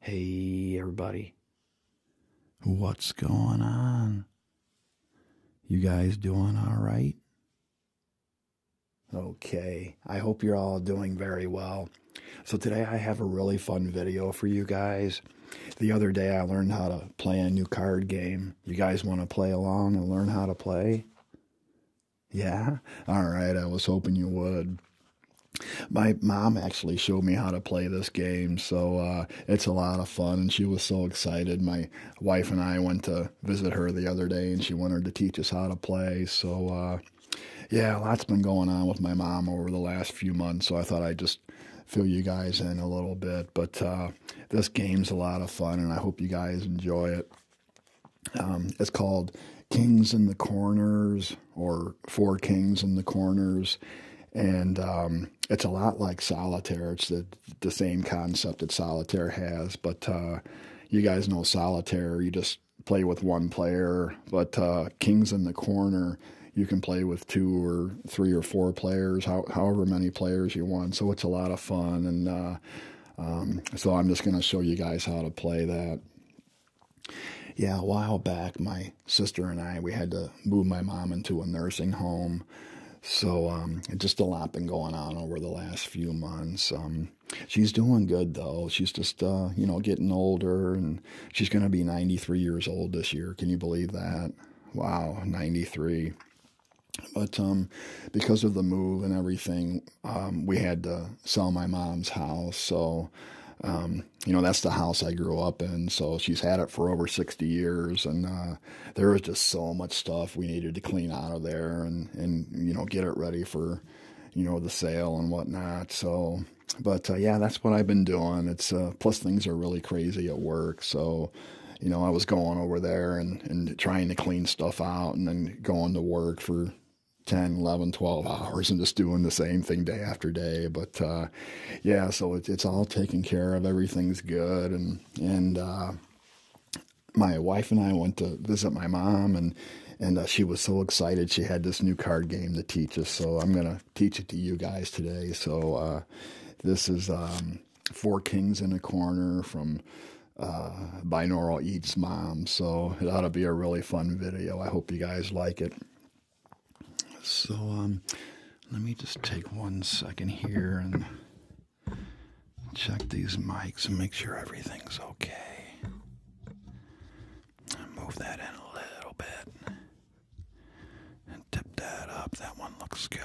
Hey, everybody. What's going on? You guys doing all right? Okay, I hope you're all doing very well. So, today I have a really fun video for you guys. The other day I learned how to play a new card game. You guys want to play along and learn how to play? Yeah? All right, I was hoping you would my mom actually showed me how to play this game, so uh, it's a lot of fun, and she was so excited. My wife and I went to visit her the other day, and she wanted to teach us how to play. So, uh, yeah, a lot's been going on with my mom over the last few months, so I thought I'd just fill you guys in a little bit. But uh, this game's a lot of fun, and I hope you guys enjoy it. Um, it's called Kings in the Corners or four kings in the corners. And um, it's a lot like solitaire. It's the, the same concept that solitaire has, but uh, you guys know solitaire. You just play with one player, but uh, kings in the corner you can play with two or three or four players, however many players you want. So it's a lot of fun, and uh, um, so I'm just going to show you guys how to play that. Yeah, a while back, my sister and I, we had to move my mom into a nursing home. So, um, just a lot been going on over the last few months. Um, she's doing good though. She's just, uh, you know, getting older and she's going to be 93 years old this year. Can you believe that? Wow, 93. But um, because of the move and everything, we had to sell my mom's house. So, um, you know, that's the house I grew up in. So she's had it for over 60 years. And uh, there was just so much stuff we needed to clean out of there and, and, you know, get it ready for, you know, the sale and whatnot. So, but uh, yeah, that's what I've been doing. It's uh, plus things are really crazy at work. So, you know, I was going over there and, and trying to clean stuff out and then going to work for 10, 11, 12 hours and just doing the same thing day after day. But uh, yeah, so it, it's all taken care of. Everything's good. And, and uh, my wife and I went to visit my mom and and uh, she was so excited she had this new card game to teach us so i'm going to teach it to you guys today so this is um, four kings in a corner from binaural eats mom so it ought to be a really fun video i hope you guys like it. So um, let me just take one second here and check these mics and make sure everything's okay. Move that in a little bit and tip that up. That one looks good.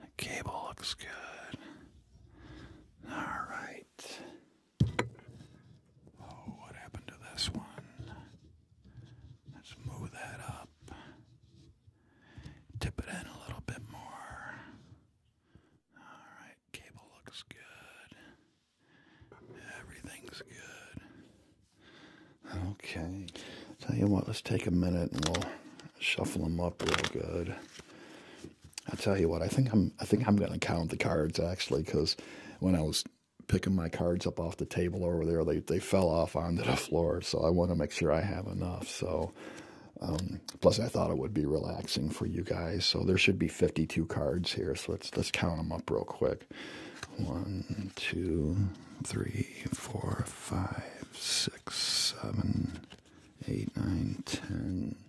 The cable looks good. All right. Oh, what happened to this one? Let's move that up. Tip it in a little bit more. Alright, cable looks good. Everything's good. Okay. Tell you what, let's take a minute and we'll shuffle them up real good. I tell you what, I think I'm I think I'm going to count the cards actually because when I was picking my cards up off the table over there, they they fell off onto the floor. So I want to make sure I have enough. So um, plus, I thought it would be relaxing for you guys. So there should be 52 cards here. So let's let's count them up real quick. One, two, three, four, five, six, seven, eight, nine, ten.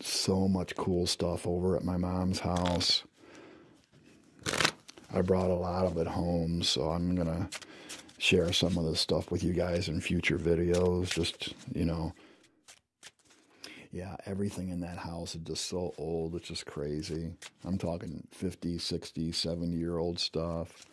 so much cool stuff over at my mom's house. I brought a lot of it home, so I'm going to share some of this stuff with you guys in future videos. Just, you know, yeah, everything in that house is just so old. It's just crazy. I'm talking 50, 60, 70 year old stuff.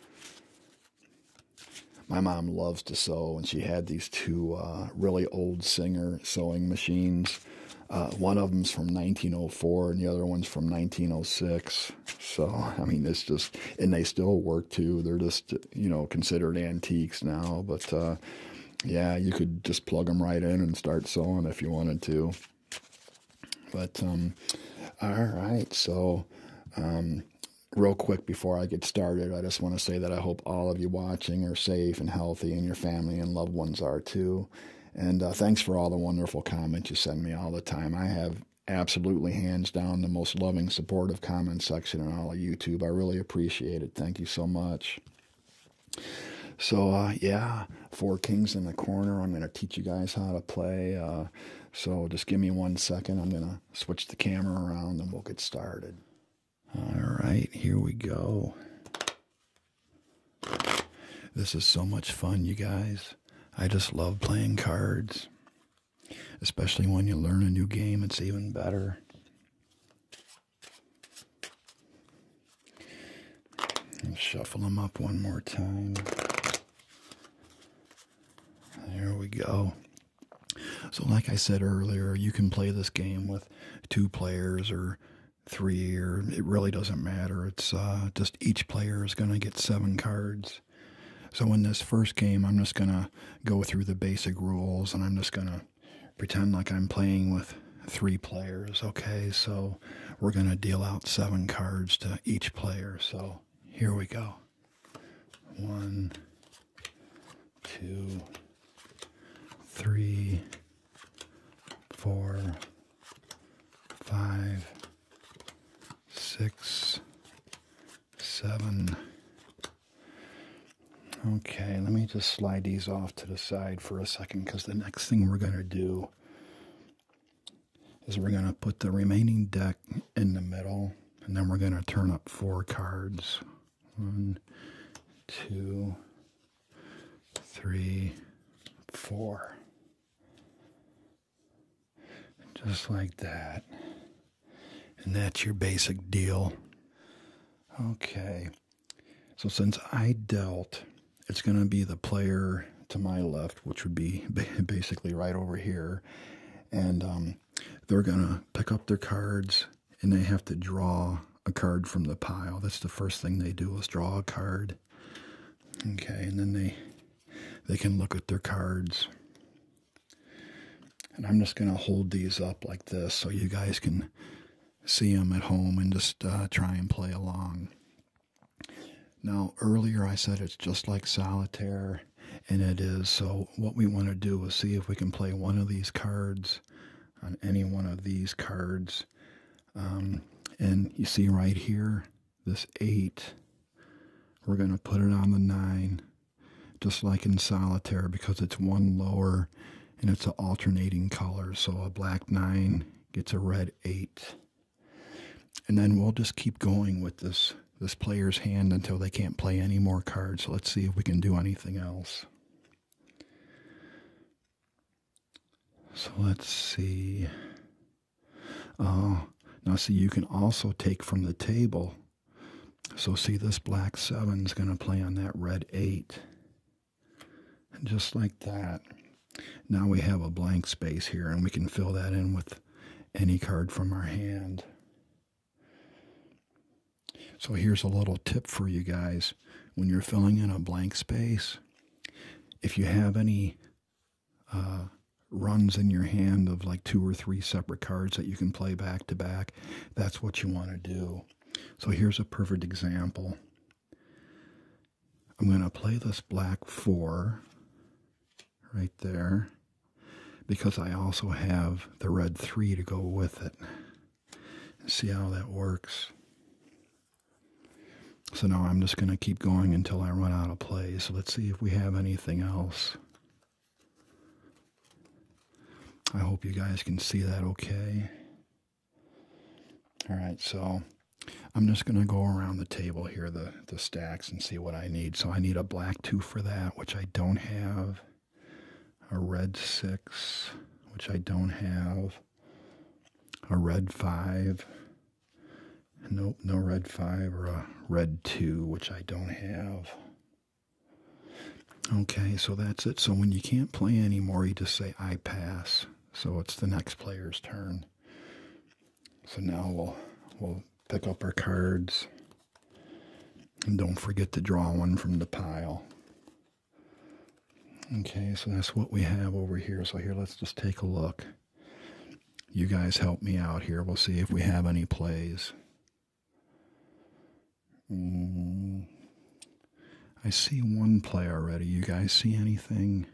My mom loves to sew, and she had these. To uh, really old Singer sewing machines. Uh, one of them's from 1904 and the other one's from 1906. So, I mean, it's just, and they still work too. They're just, you know, considered antiques now. But uh, yeah, you could just plug them right in and start sewing if you wanted to. But, um, all right. So, um, real quick before I get started, I just want to say that I hope all of you watching are safe and healthy, and your family and loved ones are too. And uh, thanks for all the wonderful comments you send me all the time. I have absolutely hands down the most loving, supportive comment section in all of YouTube. I really appreciate it. Thank you so much. So uh, yeah, four kings in the corner. I'm gonna teach you guys how to play. Uh, so just give me one second. I'm gonna switch the camera around and we'll get started. All right, here we go. This is so much fun, you guys. I just love playing cards. Especially when you learn a new game, it's even better. shuffle them up one more time. There we go. So like I said earlier, you can play this game with two players or three, or it really doesn't matter. It's uh, just each player is going to get seven cards. So in this first game, I'm just going to go through the basic rules and I'm just going to pretend like I'm playing with three players. Okay, so we're going to deal out seven cards to each player. So here we go. One, two, three, four, five, six, seven. Okay, let me just slide these off to the side for a second because the next thing we're going to do is we're going to put the remaining deck in the middle and then we're going to turn up four cards. One, two, three, four. Just like that. And that's your basic deal. Okay. So since I dealt, it's going to be the player to my left, which would be basically right over here. And um, they're going to pick up their cards and they have to draw a card from the pile. That's the first thing they do is draw a card. Okay, and then they they can look at their cards. And I'm just going to hold these up like this so you guys can see them at home and just uh, try and play along. Now, earlier I said it's just like solitaire, and it is. So, what we want to do is see if we can play one of these cards on any one of these cards. Um, and you see right here, this 8, we're going to put it on the 9, just like in solitaire, because it's one lower and it's an alternating color. So a black 9 gets a red 8. And then we'll just keep going with this, this player's hand until they can't play any more cards. So let's see if we can do anything else. So let's see. Oh, now see, you can also take from the table. So see, this black seven is going to play on that red eight. And just like that, now we have a blank space here, and we can fill that in with any card from our hand. So here's a little tip for you guys. When you're filling in a blank space, if you have any uh, runs in your hand of like two or three separate cards that you can play back to back, that's what you want to do. So here's a perfect example. I'm going to play this black four right there because I also have the red three to go with it see how that works. So now I'm just going to keep going until I run out of plays. Let's see if we have anything else. I hope you guys can see that okay. All right, so I'm just going to go around the table here, the, the stacks, and see what I need. So I need a black 2 for that, which I don't have a red six, which I don't have, a red five, nope, no red five, or a red two, which I don't have. Okay, so that's it. So when you can't play anymore, you just say, I pass. So it's the next player's turn. So now we'll, we'll pick up our cards. And don't forget to draw one from the pile. Okay, so that's what we have over here. So here, let's just take a look. You guys help me out here. We'll see if we have any plays. Mm. I see one play already. You guys see anything?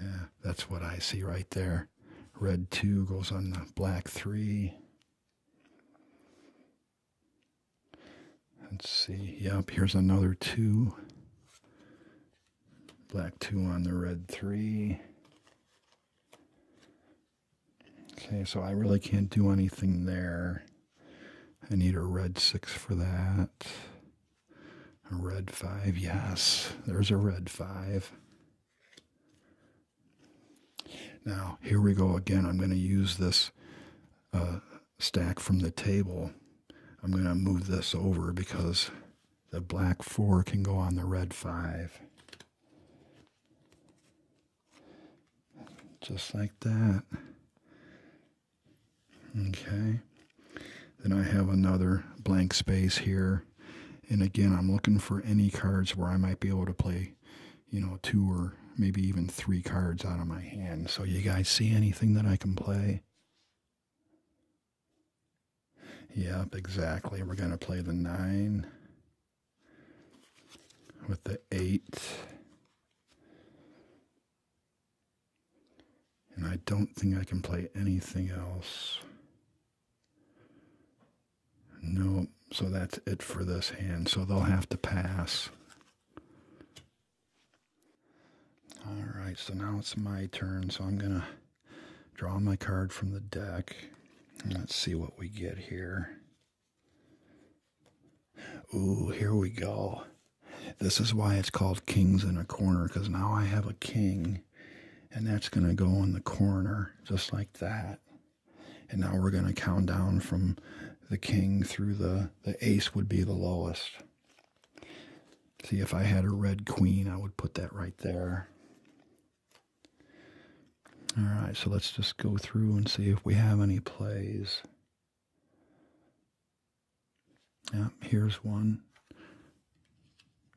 Yeah, that's what I see right there. Red 2 goes on the black 3. Let's see. Yep, here's another two. Black two on the red three. Okay, so I really can't do anything there. I need a red six for that. A red five, yes. There's a red five. Now, here we go again. I'm going to use this uh, stack from the table. I'm going to move this over because the black 4 can go on the red 5. Just like that. Okay. Then I have another blank space here. And again, I'm looking for any cards where I might be able to play you know, two or maybe even three cards out of my hand. So, you guys see anything that I can play? Yep, exactly. We're going to play the nine with the eight. And I don't think I can play anything else. No, so that's it for this hand. So they'll have to pass. All right, so now it's my turn. So I'm going to draw my card from the deck. Let's see what we get here. Ooh, here we go. This is why it's called Kings in a Corner, because now I have a king, and that's going to go in the corner, just like that. And now we're going to count down from the king through the the ace would be the lowest. See if I had a red queen, I would put that right there. All right, so let's just go through and see if we have any plays. Yeah, here's one.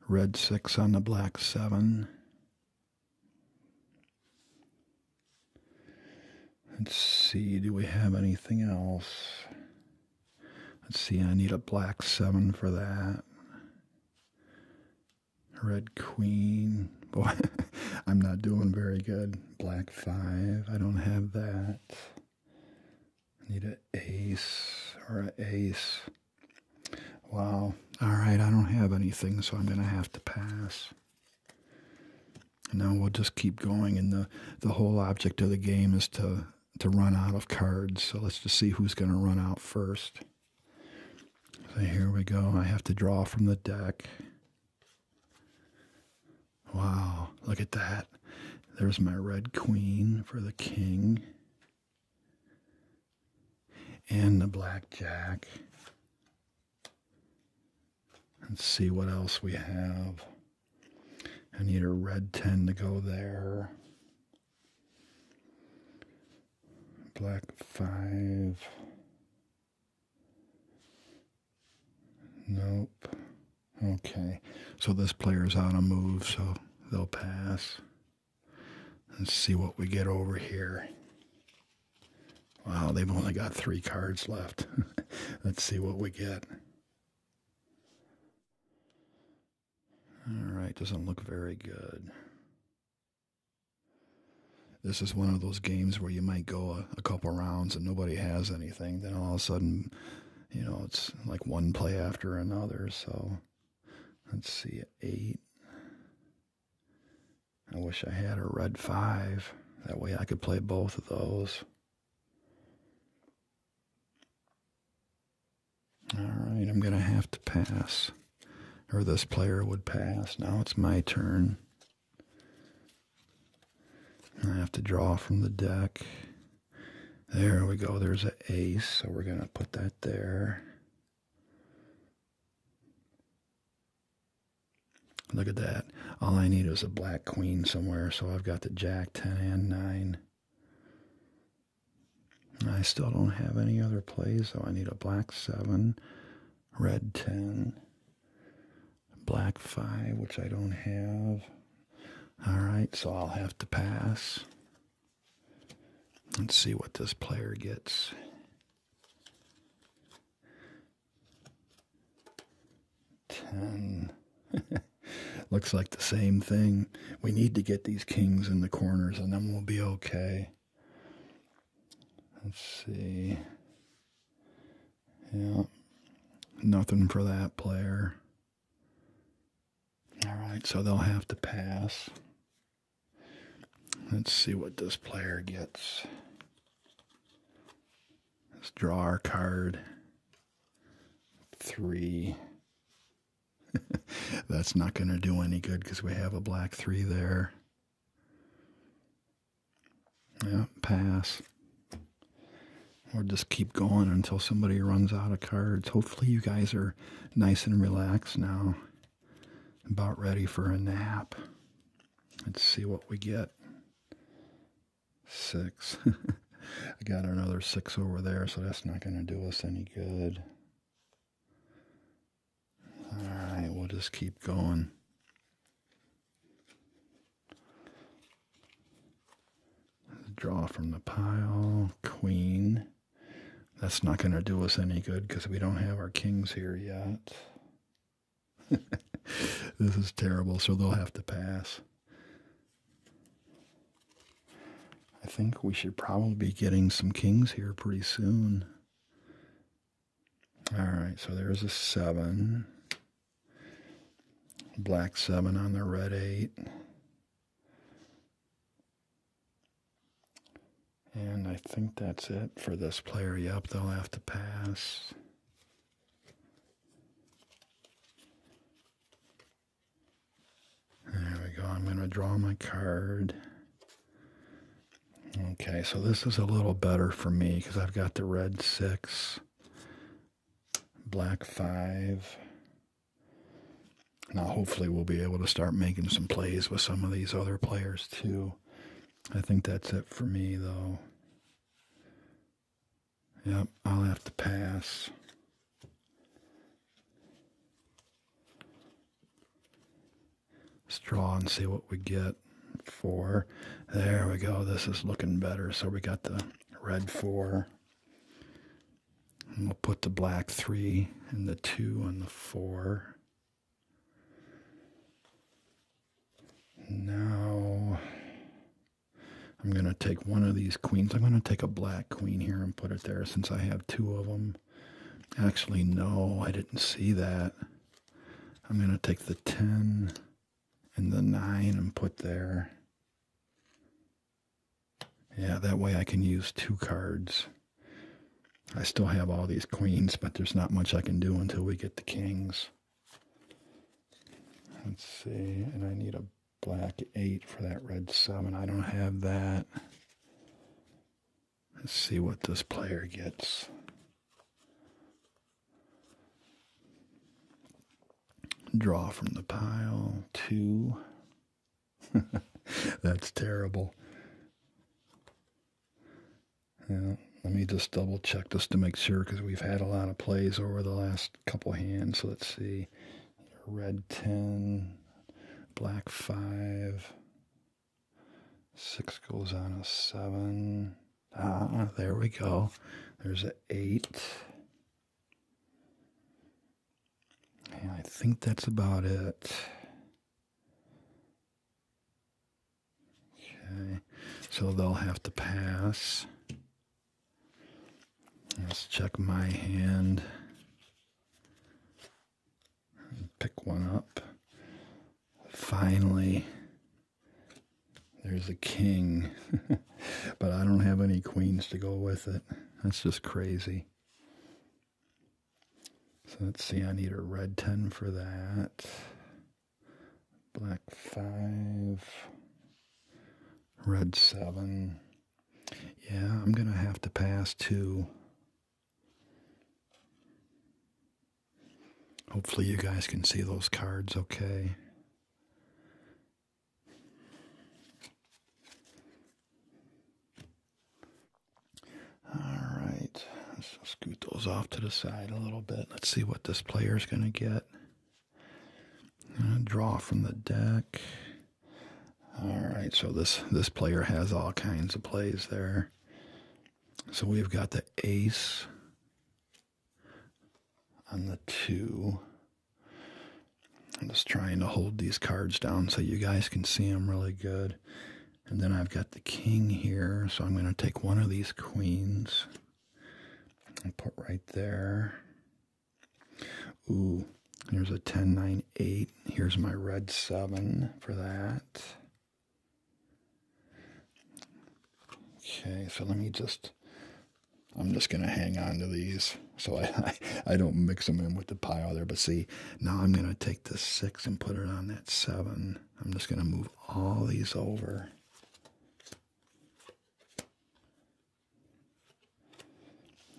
Red six on the black seven. Let's see, do we have anything else? Let's see, I need a black seven for that. Red queen. Boy, I'm not doing very good. Black five. I don't have that. need a ace or a ace. Wow. All right, I don't have anything, so I'm going to have to pass. Now we'll just keep going, and the, the whole object of the game is to, to run out of cards. So let's just see who's going to run out first. So here we go. I have to draw from the deck. Wow, look at that. There's my red queen for the king. And the black jack. Let's see what else we have. I need a red 10 to go there. Black 5. Nope. Okay. So this player's out of move, so they'll pass. Let's see what we get over here. Wow, they've only got three cards left. Let's see what we get. All right, doesn't look very good. This is one of those games where you might go a, couple rounds and nobody has anything. Then all of a sudden, you know, it's like one play after another. So let's see, eight, I wish I had a red five. That way I could play both of those. All right, I'm going to have to pass. Or this player would pass. Now it's my turn. I have to draw from the deck. There we go. There's an ace. So we're going to put that there. Look at that. All I need is a black queen somewhere, so I've got the jack, 10, and 9. I still don't have any other plays, so I need a black 7, red 10, black 5, which I don't have. All right, so I'll have to pass. Let's see what this player gets. 10. Looks like the same thing. We need to get these kings in the corners and then we'll be okay. Let's see. Yeah. Nothing for that player. All right, so they'll have to pass. Let's see what this player gets. Let's draw our card. Three. That's not going to do any good because we have a black three there. Yeah, pass. Or just keep going until somebody runs out of cards. Hopefully, you guys are nice and relaxed now, about ready for a nap. Let's see what we get. Six. I got another six over there, so that's not going to do us any good. All right, we'll just keep going. Draw from the pile. Queen. That's not going to do us any good because we don't have our kings here yet. this is terrible, so they'll have to pass. I think we should probably be getting some kings here pretty soon. All right, so there's a seven. Black seven on the red eight. And I think that's it for this player. Yep, they'll have to pass. There we go. I'm going to draw my card. Okay, so this is a little better for me because I've got the red 6, black 5. Now hopefully we'll be able to start making some plays with some of these other players too. I think that's it for me, though. Yep, I'll have to pass. Let's draw and see what we get. Four. There we go. This is looking better. So we got the red four. And we'll put the black three and the two and the four. Now, I'm going to take one of these queens. I'm going to take a black queen here and put it there since I have two of them. Actually, no, I didn't see that. I'm going to take the 10 and the 9 and put there. Yeah, that way I can use two cards. I still have all these queens, but there's not much I can do until we get the kings. Let's see, and I need a black 8 for that red 7. I don't have that. Let's see what this player gets. Draw from the pile, 2. That's terrible. Yeah, let me just double check just to make sure because we've had a lot of plays over the last couple hands. So let's see. Red 10, black 5, 6 goes on a 7. Ah, there we go. There's an 8. I think that's about it. Okay, so they'll have to pass. Let's check my hand. Pick one up. Finally, there's a king, but I don't have any queens to go with it. That's just crazy. So let's see, I need a red 10 for that black five, red seven. Yeah, I'm going to have to pass too. Hopefully, you guys can see those cards okay. All right, let's scoot those off to the side a little bit. Let's see what this player is going to get. Draw from the deck. All right, so this this player has all kinds of plays there. So we've got the ace and the two. I'm just trying to hold these cards down so you guys can see them really good. And then I've got the king here, so I'm going to take one of these queens and put right there. Ooh, here's a 10, 9, 8. Here's my red 7 for that. Okay, so let me just, I'm just going to hang on to these so I, I, I, don't mix them in with the pile there. But see, now I'm going to take the 6 and put it on that 7. I'm just going to move all these over.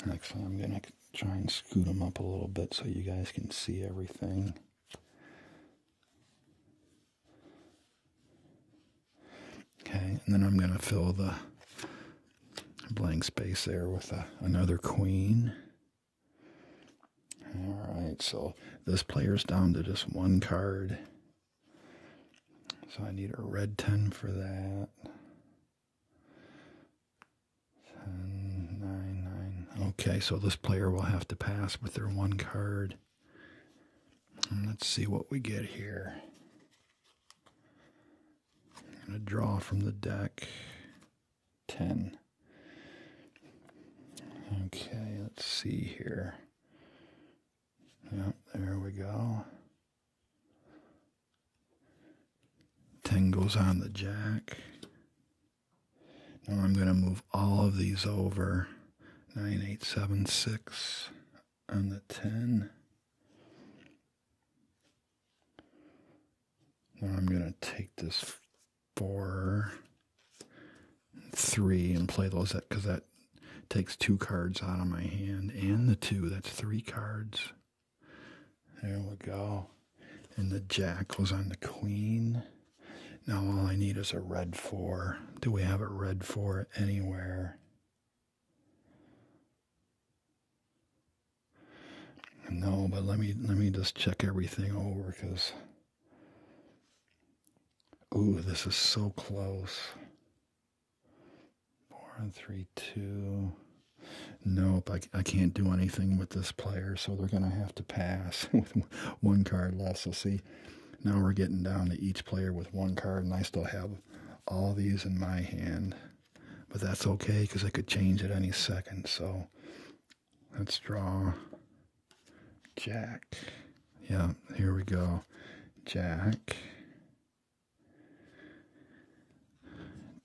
Next, I'm going to try and scoot them up a little bit so you guys can see everything. Okay, and then I'm going to fill the blank space there with another queen. All right, so this player's down to just one card. So I need a red 10 for that. 10, 9, Okay, so this player will have to pass with their one card. let's see what we get here. I'm going to draw from the deck 10. Okay, let's see here. Yep, there we go. Ten goes on the jack. Now I'm going to move all of these over. 9876 and the 10. Now I'm going to take this four, three, and play those because that takes two cards out of my hand and the two. That's three cards. There we go. And the jack was on the queen. Now all I need is a red four. Do we have it red four anywhere? No, but let me let me just check everything over because Ooh, this is so close. Four and three, two. Nope, I, I can't do anything with this player, so they're going to have to pass with one card less. So see, now we're getting down to each player with one card, and I still have all these in my hand. But that's okay, because I could change at any second, so Let's draw Jack. Yeah, here we go. Jack.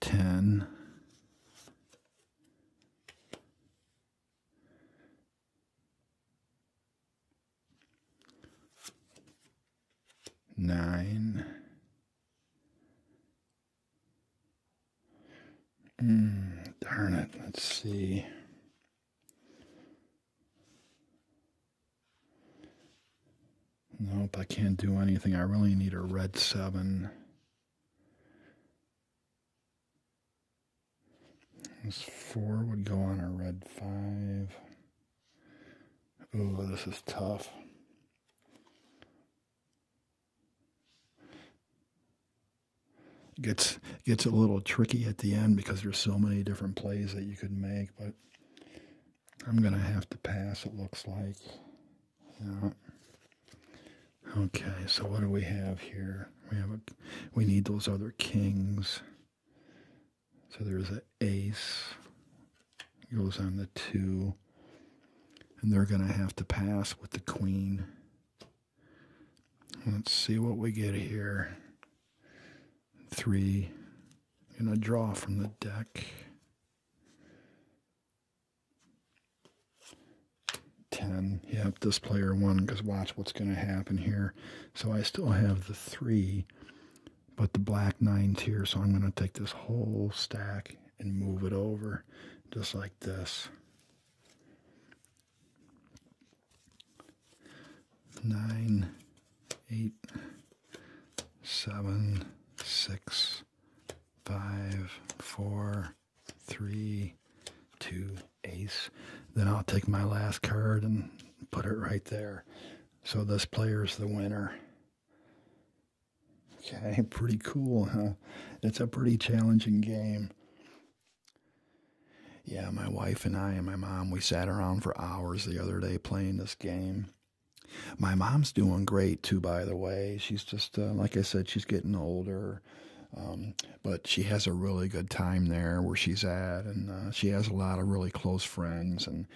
10. Nine. Hmm, darn it. Let's see. Nope, I can't do anything. I really need a red 7. This 4 would go on a red 5. Oh, this is tough. It gets gets a little tricky at the end because there's so many different plays that you could make, but I'm gonna have to pass. It looks like. Okay, so what do we have here? We have a, we need those other kings. So there's an ace. goes on the two, and they're gonna have to pass with the queen. Let's see what we get here. Three. I'm going to draw from the deck. Ten. Yep, this player one. because watch what's going to happen here. So I still have the three, but the black nines here. So I'm going to take this whole stack and move it over just like this nine, eight, seven, six, five, four, three, two, ace. Then I'll take my last card and put it right there. So this player's the winner. Okay, pretty cool, huh? It's a pretty challenging game. Yeah, my wife and I and my mom, we sat around for hours the other day playing this game. My mom's doing great too, by the way. She's just, uh, like I said, she's getting older. Um, but she has a really good time there where she's at, and uh, she has a lot of really close friends, and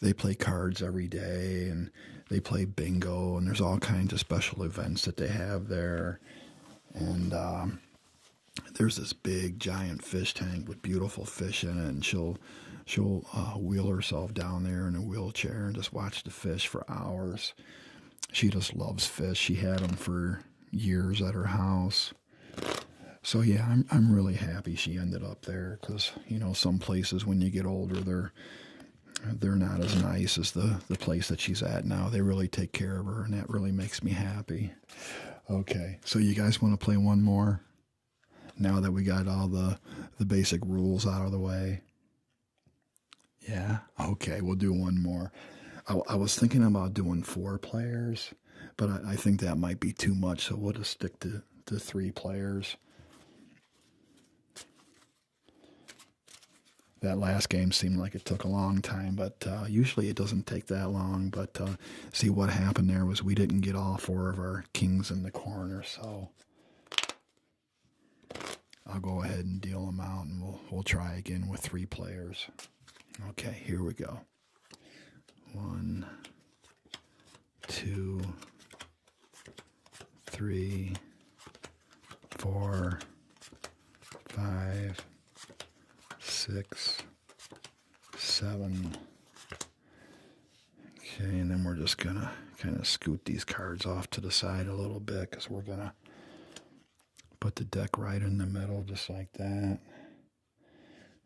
they play cards every day, and they play bingo, and there's all kinds of special events that they have there, and um, there's this big giant fish tank with beautiful fish in it, and she'll she'll uh, wheel herself down there in a wheelchair and just watch the fish for hours. She just loves fish. She had them for years at her house. So yeah, I'm I'm really happy she ended up there because you know some places when you get older they're they're not as nice as the the, place that she's at now. They really take care of her, and that really makes me happy. Okay, so you guys want to play one more? Now that we got all the, the basic rules out of the way? Yeah? Okay, we'll do one more. I, was thinking about doing four players, but I, I think that might be too much, so we'll just stick to, to three players that last game seemed like it took a long time, but uh, usually it doesn't take that long. But uh, see, what happened there was we didn't get all four of our kings in the corner, so I'll go ahead and deal them out, and we'll we'll try again with three players. Okay, here we go. One, two, three, four, five six, seven. Okay, and then we're just going to kind of scoot these cards off to the side a little bit because we're going to put the deck right in the middle just like that.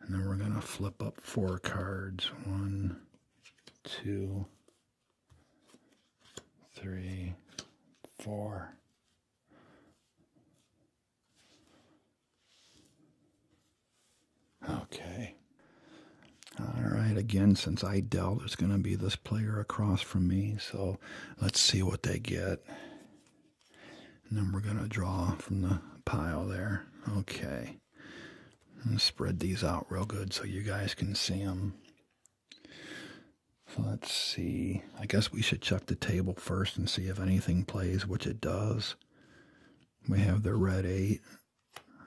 And then we're going to flip up four cards. One, two, three, four. Okay. All right, again, since I dealt, it's going to be this player across from me. So let's see what they get. And then we're going to draw from the pile there. Okay. And spread these out real good so you guys can see them let's see. I guess we should check the table first and see if anything plays, which it does. We have the red 8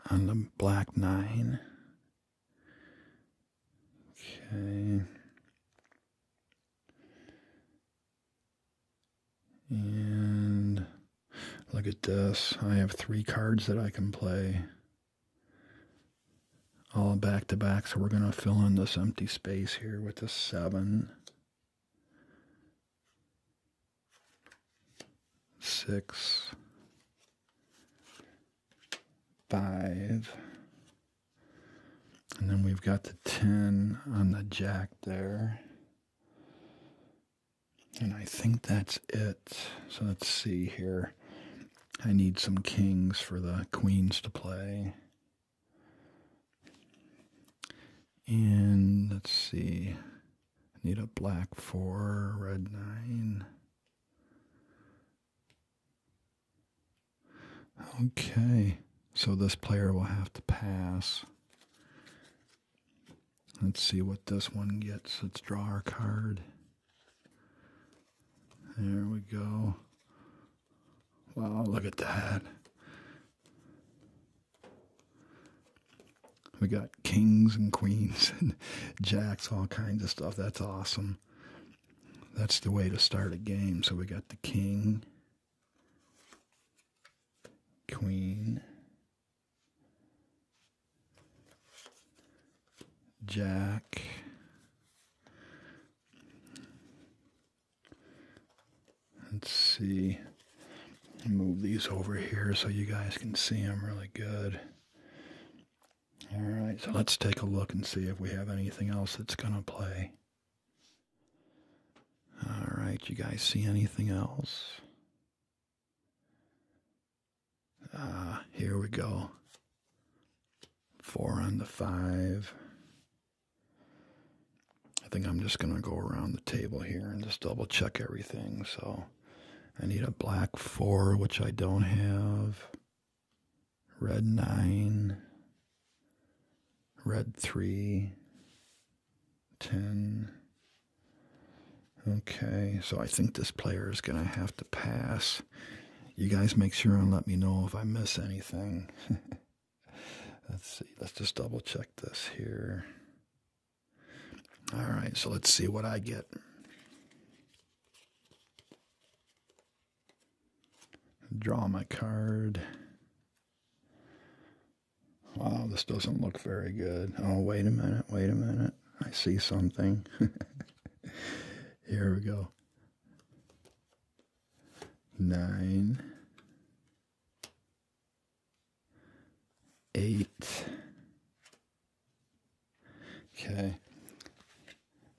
and the black 9. Okay. And look at this. I have three cards that I can play all back to back. So we're going to fill in this empty space here with a 7. 6. 5. And then we've got the 10 on the jack there. And I think that's it. So let's see here. I need some kings for the queens to play. And let's see. I need a black four, red nine. Okay. So this player will have to pass. Let's see what this one gets. Let's draw our card. There we go. Wow, look at that. We got kings and queens and jacks, all kinds of stuff. That's awesome. That's the way to start a game. So we got the king, queen, jack, Let's see. Move these over here so you guys can see them really good. All right, so let's take a look and see if we have anything else that's going to play. All right, you guys see anything else? Ah, here we go. Four on the five. I think I'm just going to go around the table here and just double check everything. So I need a black 4, which I don't have, red 9, red three, ten. Okay, so I think this player is going to have to pass. You guys make sure and let me know if I miss anything. Let's see. Let's just double check this here. All right. So let's see what I get. Draw my card. Wow, this doesn't look very good. Oh, wait a minute. Wait a minute. I see something. here we go nine, eight. Okay.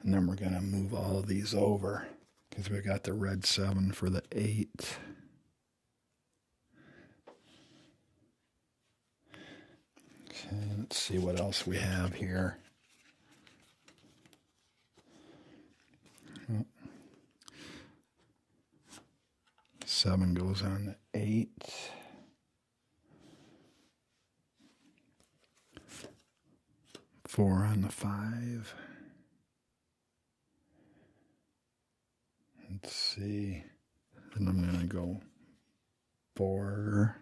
And then we're going to move all these over because we got the red seven for the eight. Okay, let's see what else we have here. Seven goes on to eight. Four on the five. Let's see. And I'm going to go four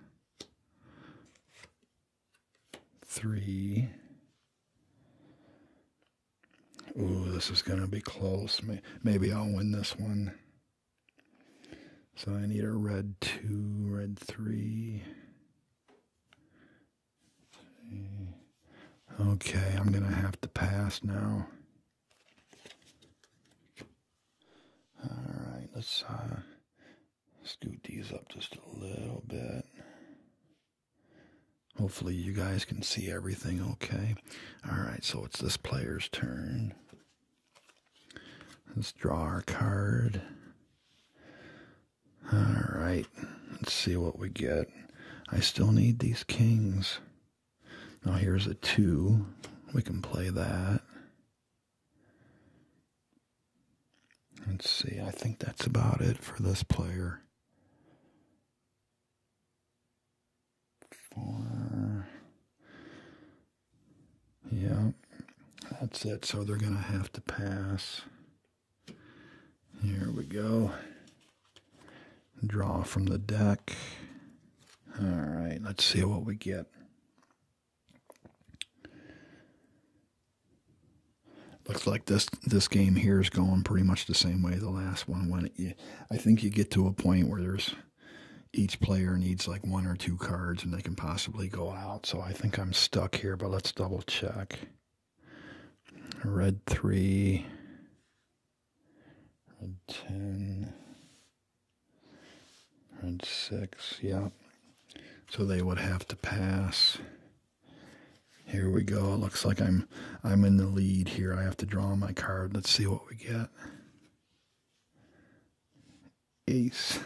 three. Ooh, this is going to be close. Maybe I'll win this one. So I need a red two, red three. Okay, I'm going to have to pass now. All right, let's uh, scoot these up just a little bit. Hopefully, you guys can see everything okay. All right, so it's this player's turn. Let's draw our card. All right, let's see what we get. I still need these kings. Now, here's a two. We can play that. Let's see, I think that's about it for this player. Four. Yeah, that's it. So they're going to have to pass. Here we go. Draw from the deck. All right, let's see what we get. Looks like this this game here is going pretty much the same way the last one went. I think you get to a point where there's each player needs like one or two cards and they can possibly go out. So I think I'm stuck here, but let's double check. Red 3, red 10, red 6, Yep. So they would have to pass here we go. It looks like I'm I'm in the lead here. I have to draw my card. Let's see what we get. Ace.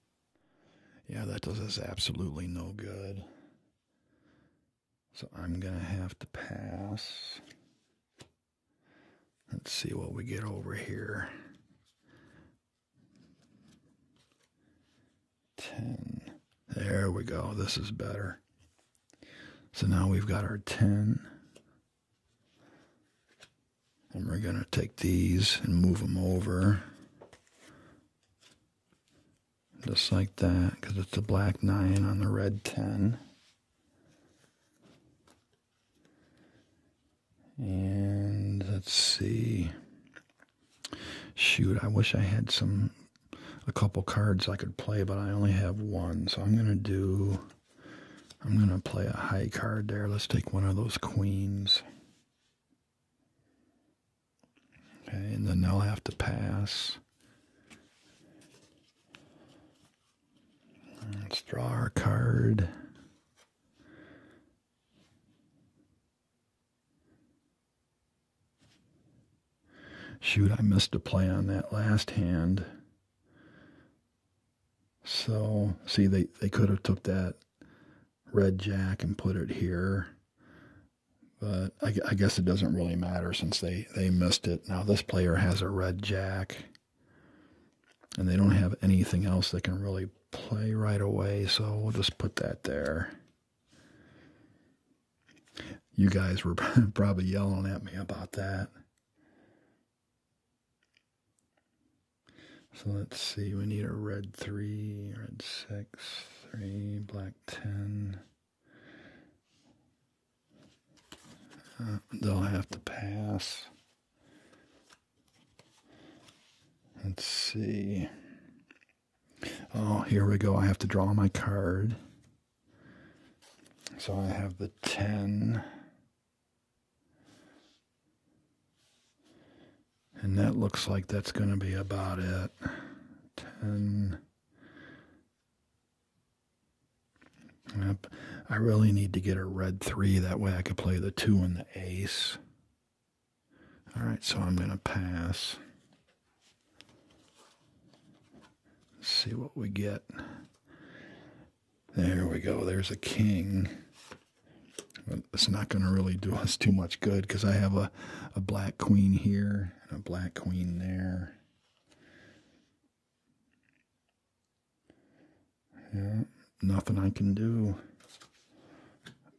yeah, that does us absolutely no good. So I'm going to have to pass. Let's see what we get over here. 10. There we go. This is better. So now we've got our 10. And we're going to take these and move them over. Just like that, because it's the black 9 on the red 10. And let's see. Shoot, I wish I had some, a couple cards I could play, but I only have one. So I'm going to do, I'm going to play a high card there. Let's take one of those queens. Okay, and then they'll have to pass. Let's draw our card. Shoot, I missed a play on that last hand. So, see, they, they could have took that red jack and put it here. But I, guess it doesn't really matter since they, they missed it. Now, this player has a red jack. And they don't have anything else they can really play right away. So, we'll just put that there. You guys were probably yelling at me about that. So let's see, we need a red 3, red 6, 3, black 10. Uh, they'll have to pass. Let's see. Oh, here we go. I have to draw my card. So I have the 10. And that looks like that's going to be about it. 10. Yep. I really need to get a red 3. That way I could play the 2 and the ace. All right, so I'm going to pass. see what we get. There we go. There's a king. it's not going to really do us too much good because I have a, a black queen here and a black queen there. Yeah, nothing I can do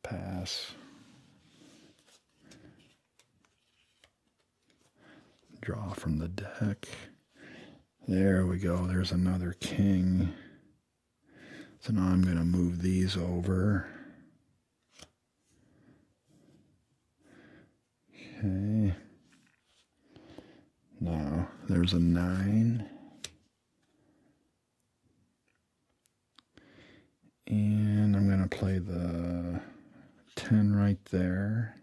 pass, draw from the deck. There we go. There's another king. So now I'm going to move these over. Okay. Now there's a nine. And I'm going to play the 10 right there.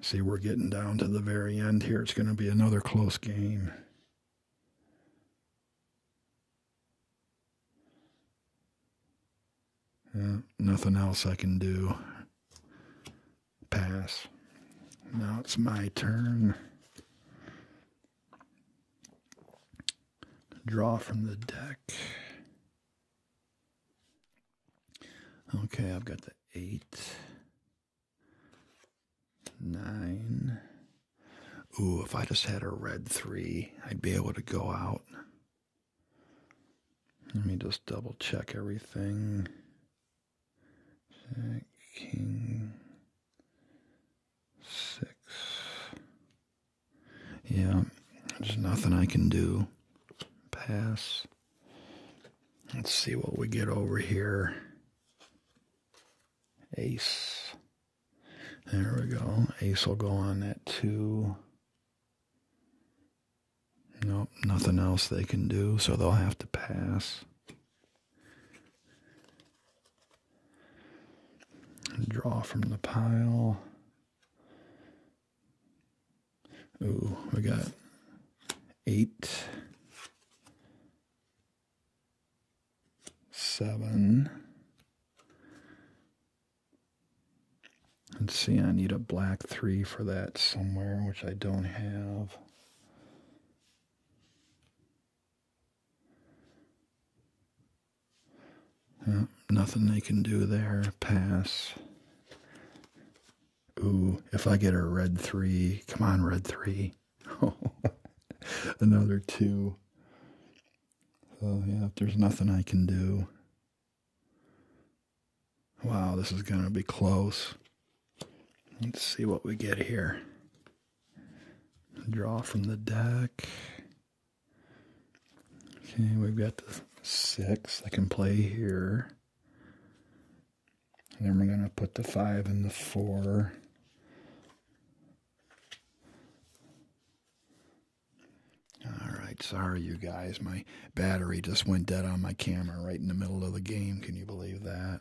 See, we're getting down to the very end here. It's going to be another close game. Yeah, nothing else I can do. Pass. Now it's my turn. Draw from the deck. Okay, I've got the eight, nine. Ooh, if I just had a red three, I'd be able to go out. Let me just double check everything. King, six. Yeah, there's nothing I can do. Pass. Let's see what we get over here. Ace. There we go. Ace will go on that two. Nope, nothing else they can do, so they'll have to pass. Draw from the pile. Ooh, we got eight, seven. Let's see, I need a black three for that somewhere, which I don't have nothing they can do there. Pass. Ooh, if I get a red three, come on, red three. Another two. So, yeah, if there's nothing I can do. Wow, this is going to be close. Let's see what we get here. Draw from the deck. Okay, we've got the six I can play here. And then we're going to put the five and the four. All right, sorry you guys. My battery just went dead on my camera right in the middle of the game. Can you believe that?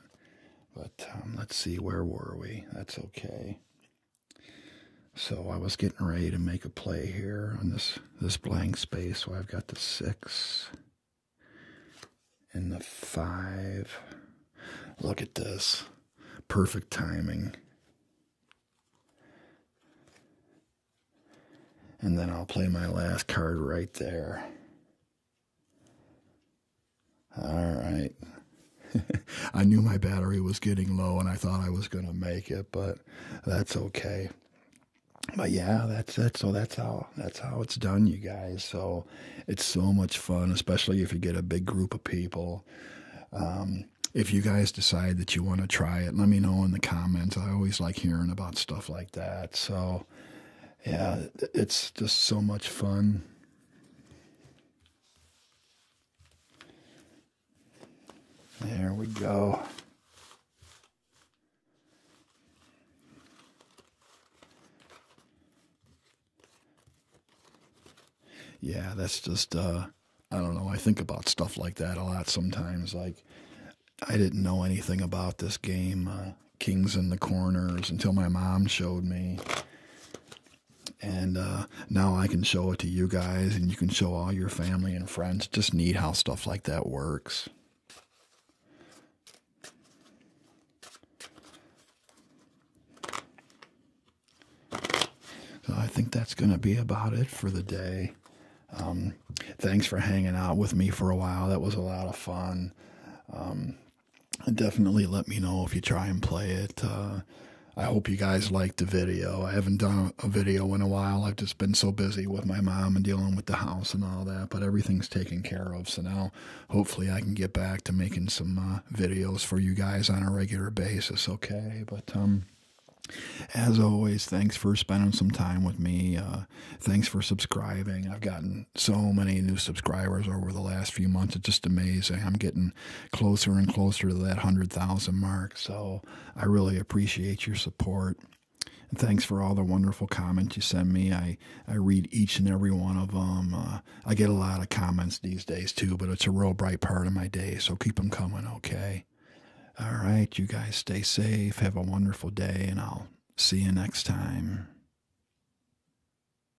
But um, let's see, where were we? That's okay. So I was getting ready to make a play here on this this blank space. So I've got the six and the five. Look at this. Perfect timing. And then I'll play my last card right there. All right. I knew my battery was getting low and I thought I was going to make it, but that's okay. But yeah, that's it. So that's how that's how it's done, you guys. So it's so much fun, especially if you get a big group of people. Um, if you guys decide that you want to try it, let me know in the comments. I always like hearing about stuff like that. So yeah, it's just so much fun. There we go. Yeah, that's just, uh, I don't know. I think about stuff like that a lot sometimes. Like, I didn't know anything about this game, uh, Kings in the Corners, until my mom showed me and uh, now I can show it to you guys, and you can show all your family and friends. Just neat how stuff like that works. I think that's going to be about it for the day. Um, thanks for hanging out with me for a while. That was a lot of fun. Um, definitely let me know if you try and play it. Uh, I hope you guys liked the video. I haven't done a video in a while. I've just been so busy with my mom and dealing with the house and all that, but everything's taken care of. So now hopefully I can get back to making some uh, videos for you guys on a regular basis, okay? But um, as always, thanks for spending some time with me. Uh, thanks for subscribing. I've gotten so many new subscribers subscribers over the last few months. It's just amazing. I'm getting closer and closer to that 100,000 mark. So I really appreciate your support. And thanks for all the wonderful comments you send me. I, I read each and every one of them. Uh, I get a lot of comments these days too, but it's a real bright part of my day. So keep them coming, okay? All right, you guys stay safe. Have a wonderful day, and I'll see you next time.